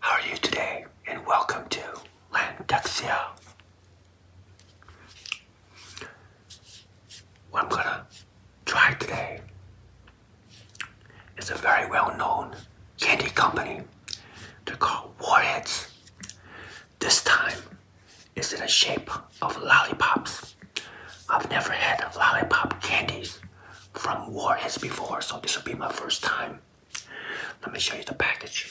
How are you today? And welcome to Landexia. What I'm gonna try today is a very well known candy company right? they warheads. This time, it's in the shape of lollipops. I've never had lollipop candies from warheads before, so this will be my first time. Let me show you the package.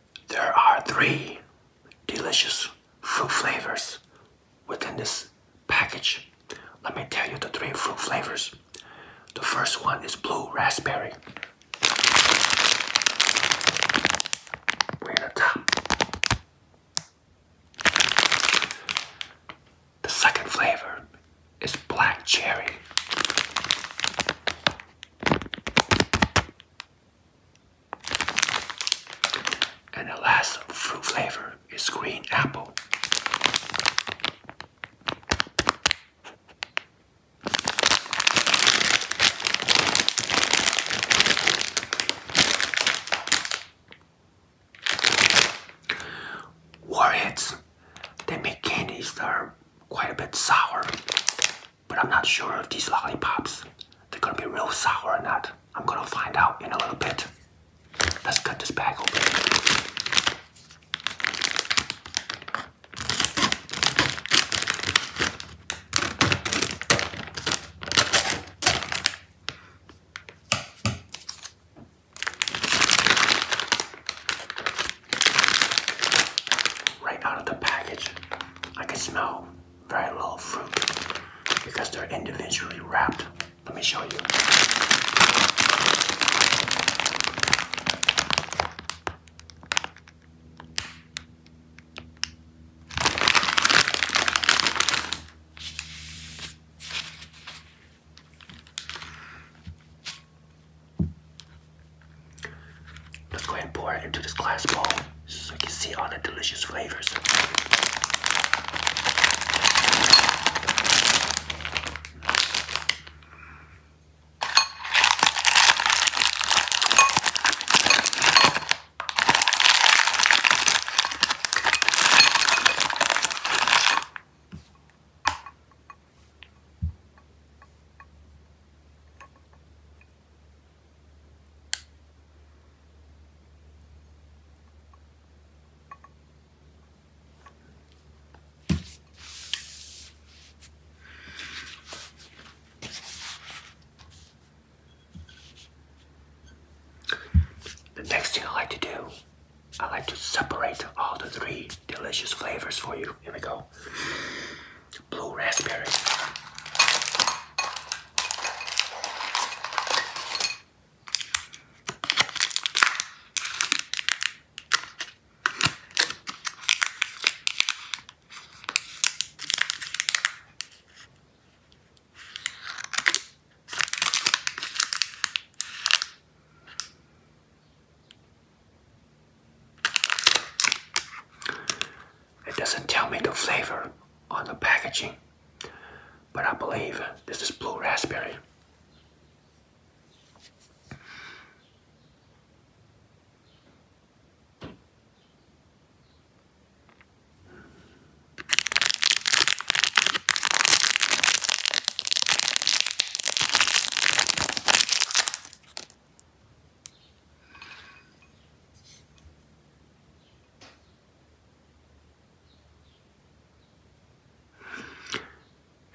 There are three delicious fruit flavors within this package. Let me tell you the three fruit flavors. The first one is blue raspberry. Right at the top. The second flavor is black cherry. And the last fruit flavor is green apple. Warheads, they make candies that are quite a bit sour but I'm not sure if these lollipops they're gonna be real sour or not. I'm gonna find out in a little bit. Let's cut this bag open. Right out of the package, I can smell very little fruit because they're individually wrapped. Let me show you. Let's go ahead and pour it into this glass bowl so you can see all the delicious flavors. The next thing I like to do, I like to separate all the three delicious flavors for you. Here we go. Blue raspberry. It doesn't tell me the flavor on the packaging, but I believe this is blue raspberry.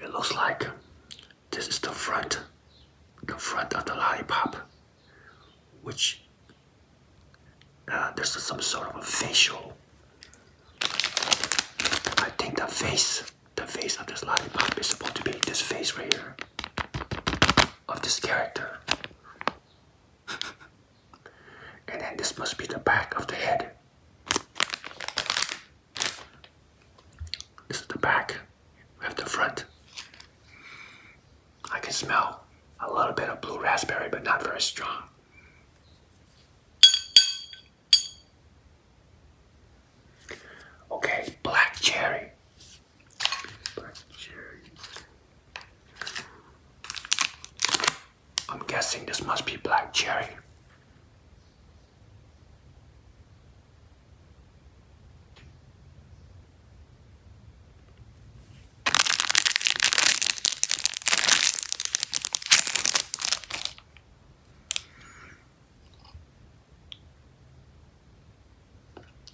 It looks like this is the front, the front of the lollipop, which uh, there's some sort of a facial. I think the face, the face of this lollipop is supposed to be this face right here of this character. and then this must be the back of the head. This is the back. We have the front. I can smell a little bit of blue raspberry, but not very strong. Okay, black cherry. I'm guessing this must be black cherry.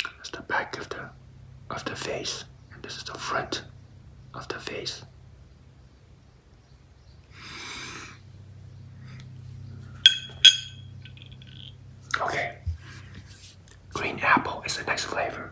This is the back of the of the face, and this is the front of the face. Okay. Green apple is the next flavor.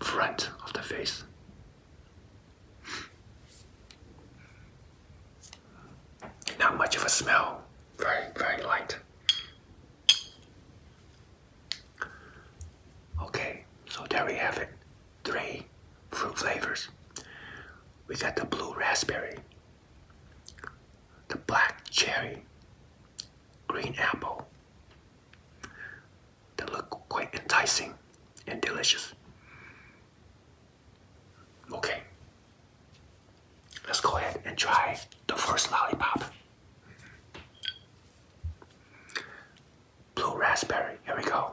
front of the face. Not much of a smell, very, very light. Okay, so there we have it. Three fruit flavors. We got the blue raspberry, the black cherry, green apple, they look quite enticing and delicious. Okay, let's go ahead and try the first lollipop. Blue raspberry, here we go.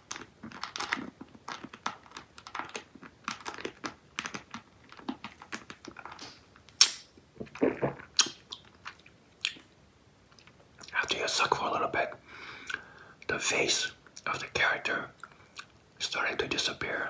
After you suck for a little bit, the face of the character starting to disappear.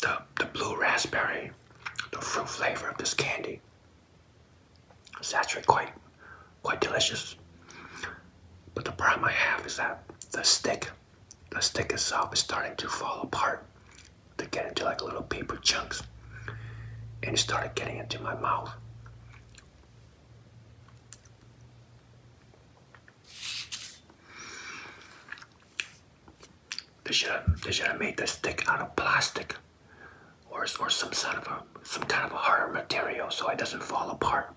The, the blue raspberry, the fruit flavor of this candy is actually quite, quite delicious. But the problem I have is that the stick the stick itself is starting to fall apart to get into like little paper chunks and it started getting into my mouth they should have they should have made the stick out of plastic or, or some sort of a some kind of a harder material so it doesn't fall apart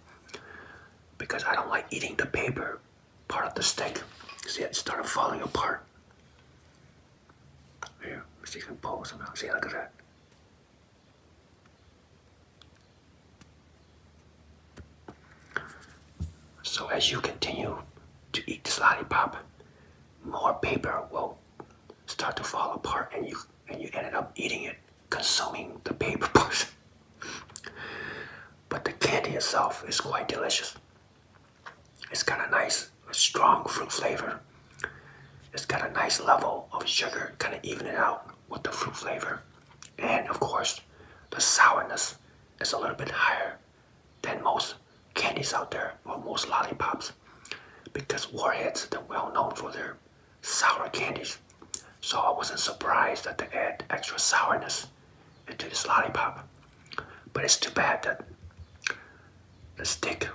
because I don't like eating the paper part of the stick see it started falling apart here see it you can see look at that so as you continue to eat this lollipop more paper will start to fall apart and you and you ended up eating it consuming the paper portion. But the candy itself is quite delicious. It's got a nice, strong fruit flavor. It's got a nice level of sugar, kind of evening out with the fruit flavor. And of course, the sourness is a little bit higher than most candies out there, or most lollipops, because Warheads, are well known for their sour candies. So I wasn't surprised that they add extra sourness into this lollipop. But it's too bad that the stick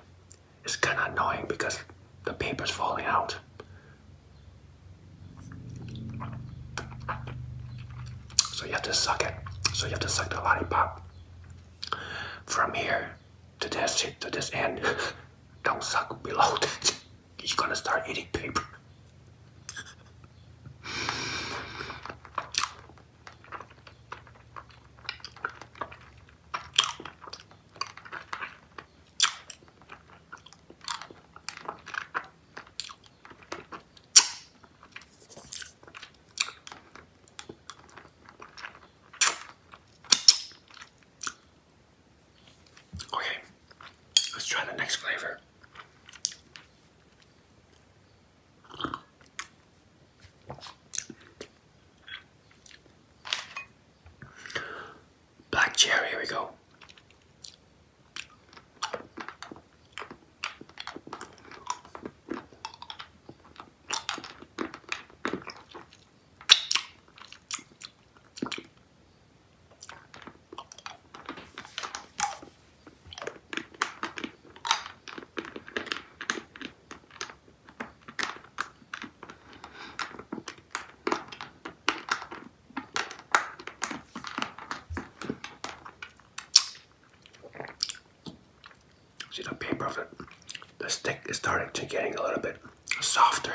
is kind of annoying because the paper is falling out. So you have to suck it. So you have to suck the lollipop from here to this end. Don't suck below that. you gonna start eating paper. Okay, let's try the next flavor. Black cherry, here we go. See the paper of it, the stick is starting to getting a little bit softer.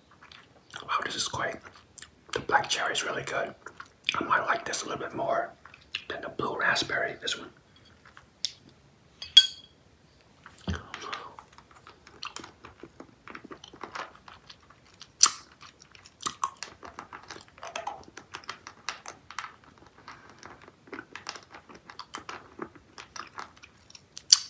Wow, this is great. The black cherry is really good. I might like this a little bit more than the blue raspberry, this one.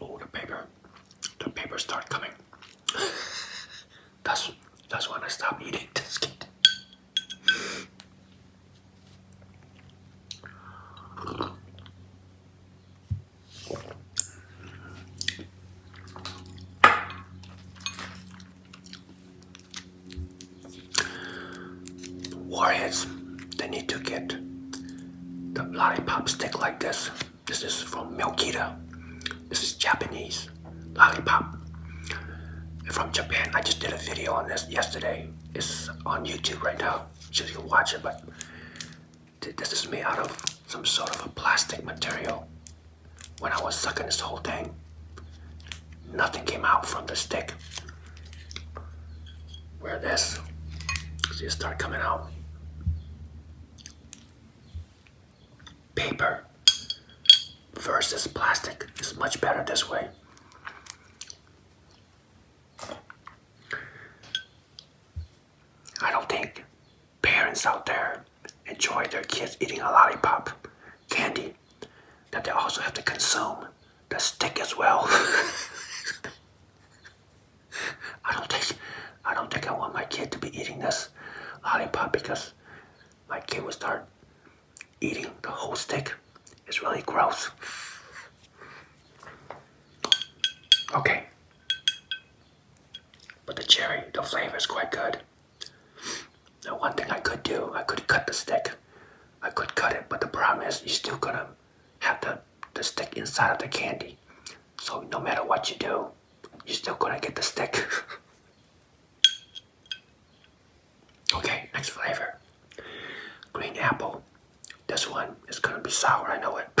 Oh, the paper, the papers start coming. that's that's when I stop eating this kid. Warheads, they need to get the lollipop stick like this. This is from Milkita. This is Japanese lollipop from Japan. I just did a video on this yesterday. It's on YouTube right now. Just you watch it, but this is made out of some sort of a plastic material. When I was sucking this whole thing, nothing came out from the stick. Wear this, See, it start coming out. Paper versus plastic is much better this way. I don't think parents out there enjoy their kids eating a lollipop candy that they also have to consume the stick as well. I don't think I don't think I want my kid to be eating this lollipop because my kid will start eating the whole stick. It's really gross. Okay. But the cherry, the flavor is quite good. Now one thing I could do, I could cut the stick. I could cut it, but the problem is you're still gonna have the, the stick inside of the candy. So no matter what you do, you're still gonna get the stick. okay, next flavor. Green apple. This one is gonna be sour, I know it.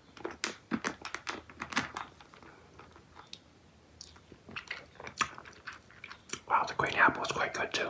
Wow, the green apple is quite good too.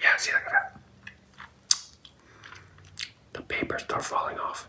Yeah, see, that. The papers start falling off.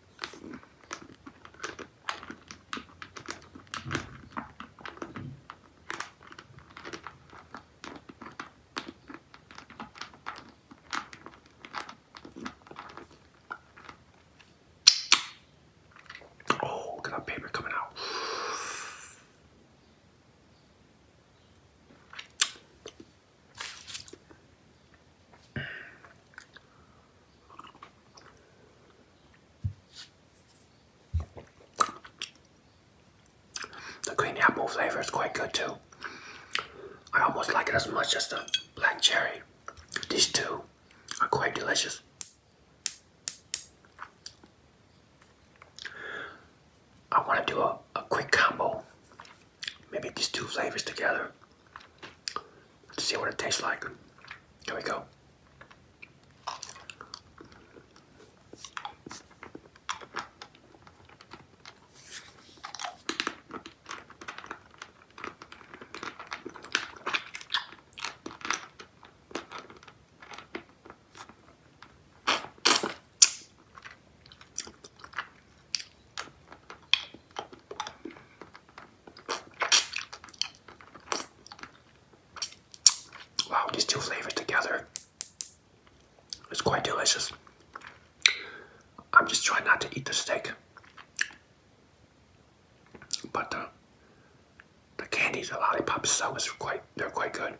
Oh, look at that paper coming out. The green apple flavor is quite good too. I almost like it as much as the black cherry. These two are quite delicious. I want to do a, a quick combo. Maybe these two flavors together. Let's see what it tastes like. Here we go. Wow, these two flavors together. It's quite delicious. I'm just trying not to eat the steak. But the candies, the lollipops, so is quite they're quite good.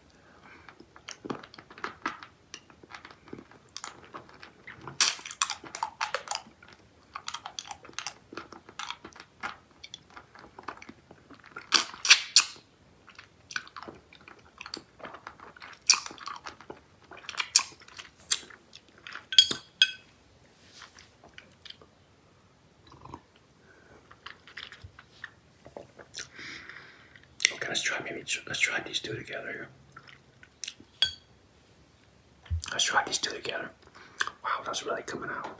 Okay, let's try maybe let's try these two together here. Let's try these two together. Wow, that's really coming out.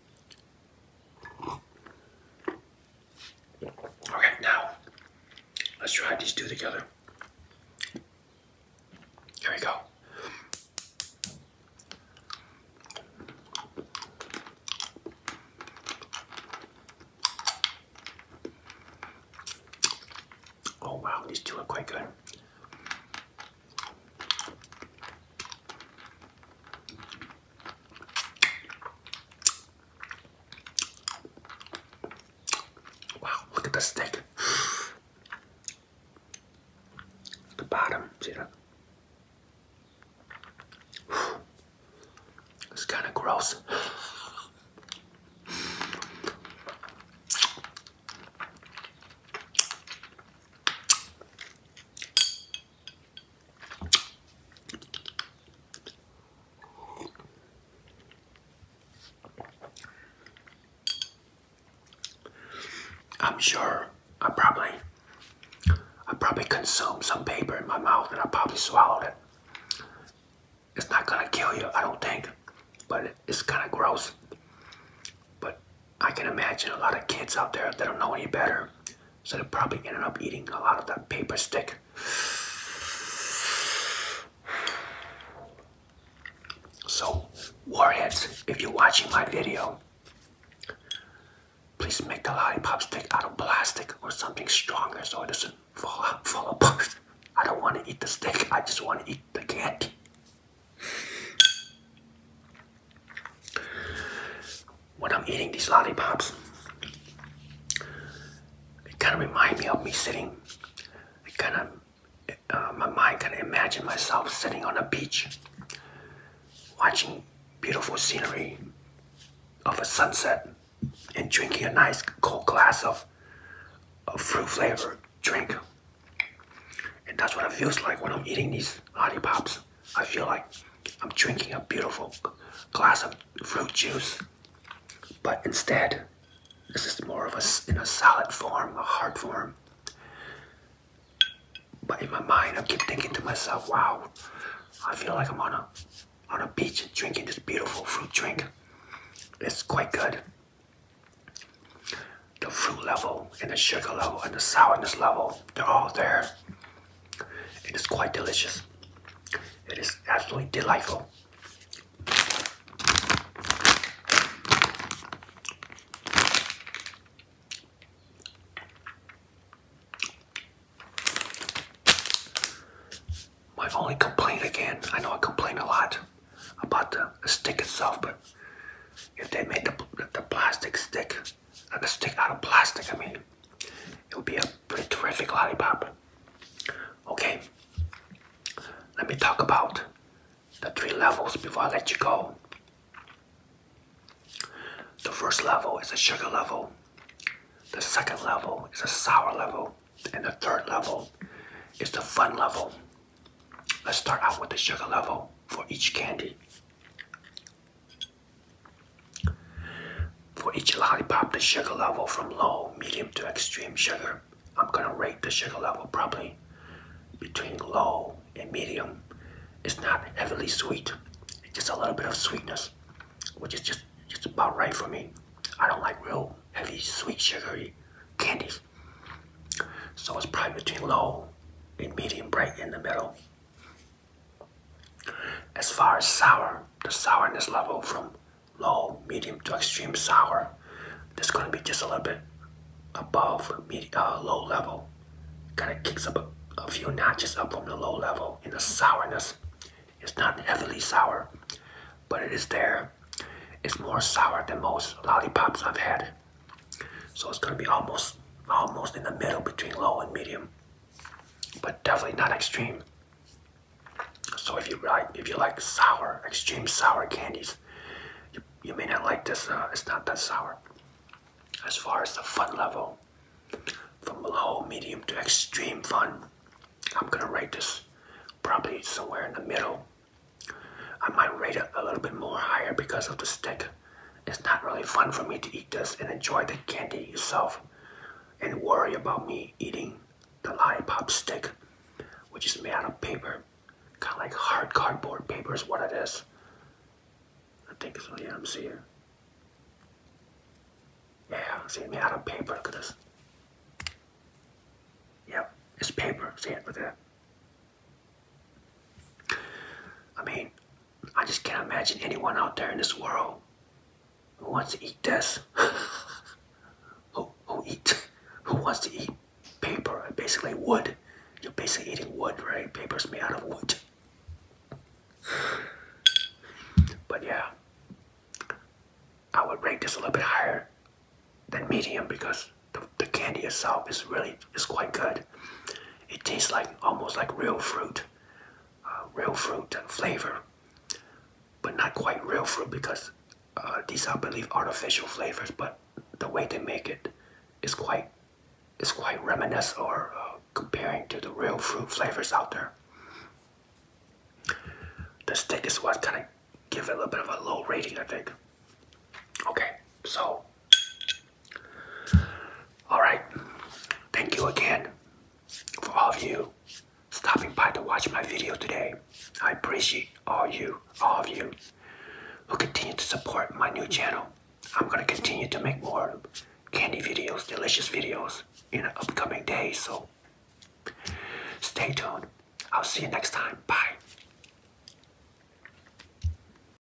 Okay, now let's try these two together. Here we go. Oh wow, these two are quite good. Wow, look at the stick. the bottom, see that? It's kind of gross. I'm sure I probably I probably consumed some paper in my mouth and I probably swallowed it. It's not gonna kill you, I don't think, but it's kind of gross. But I can imagine a lot of kids out there that don't know any better. So they're probably ended up eating a lot of that paper stick. So, Warheads, if you're watching my video, please make the lollipop stick out of plastic or something stronger so it doesn't fall, fall apart. I don't want to eat the stick, I just want to eat the candy. When I'm eating these lollipops, it kind of reminds me of me sitting. It kind of, uh, my mind kind of imagine myself sitting on a beach, watching beautiful scenery of a sunset, and drinking a nice cold glass of a fruit flavored drink and that's what it feels like when I'm eating these Hottie I feel like I'm drinking a beautiful glass of fruit juice. But instead, this is more of us in a solid form, a hard form. But in my mind, I keep thinking to myself, wow, I feel like I'm on a, on a beach drinking this beautiful fruit drink. It's quite good the fruit level and the sugar level and the sourness level. They're all there. It is quite delicious. It is absolutely delightful. My only complaint again, I know I complain a lot about the stick itself, but if they made the, the plastic stick and a stick out of plastic. I mean, it would be a pretty terrific lollipop. Okay, let me talk about the three levels before I let you go. The first level is a sugar level, the second level is a sour level, and the third level is the fun level. Let's start out with the sugar level for each candy. For each lollipop, the sugar level from low, medium to extreme sugar, I'm gonna rate the sugar level probably between low and medium. It's not heavily sweet, it's just a little bit of sweetness, which is just, just about right for me. I don't like real heavy, sweet, sugary candies. So it's probably between low and medium, right in the middle. As far as sour, the sourness level from low, medium to extreme sour, that's gonna be just a little bit above medium, uh, low level. Kind of kicks up a, a few notches up from the low level in the sourness. It's not heavily sour, but it is there. It's more sour than most lollipops I've had. So it's gonna be almost almost in the middle between low and medium. But definitely not extreme. So if you like if you like sour, extreme sour candies, you, may not like this, uh, it's not that sour. As far as the fun level, from low, medium to extreme fun, I'm gonna rate this probably somewhere in the middle. I might rate it a little bit more higher because of the stick. It's not really fun for me to eat this and enjoy the candy itself and worry about me eating the lollipop stick, which is made out of paper, kind of like hard cardboard paper is what it is. I think it's, yeah, I'm seeing. Yeah, see, made out of paper, look at this. Yep, it's paper, see it, look at I mean, I just can't imagine anyone out there in this world who wants to eat this. who who eat who wants to eat paper? Basically wood. You're basically eating wood, right? Paper's made out of wood. But yeah, I would rate this a little bit higher than medium because the candy itself is really is quite good. It tastes like almost like real fruit, uh, real fruit flavor, but not quite real fruit because uh, these I believe artificial flavors. But the way they make it is quite is quite reminiscent or uh, comparing to the real fruit flavors out there. The stick is what kind of give it a little bit of a low rating, I think. Okay, so all right. Thank you again for all of you stopping by to watch my video today. I appreciate all you, all of you who continue to support my new channel. I'm going to continue to make more candy videos, delicious videos in the upcoming days. So stay tuned. I'll see you next time. Bye.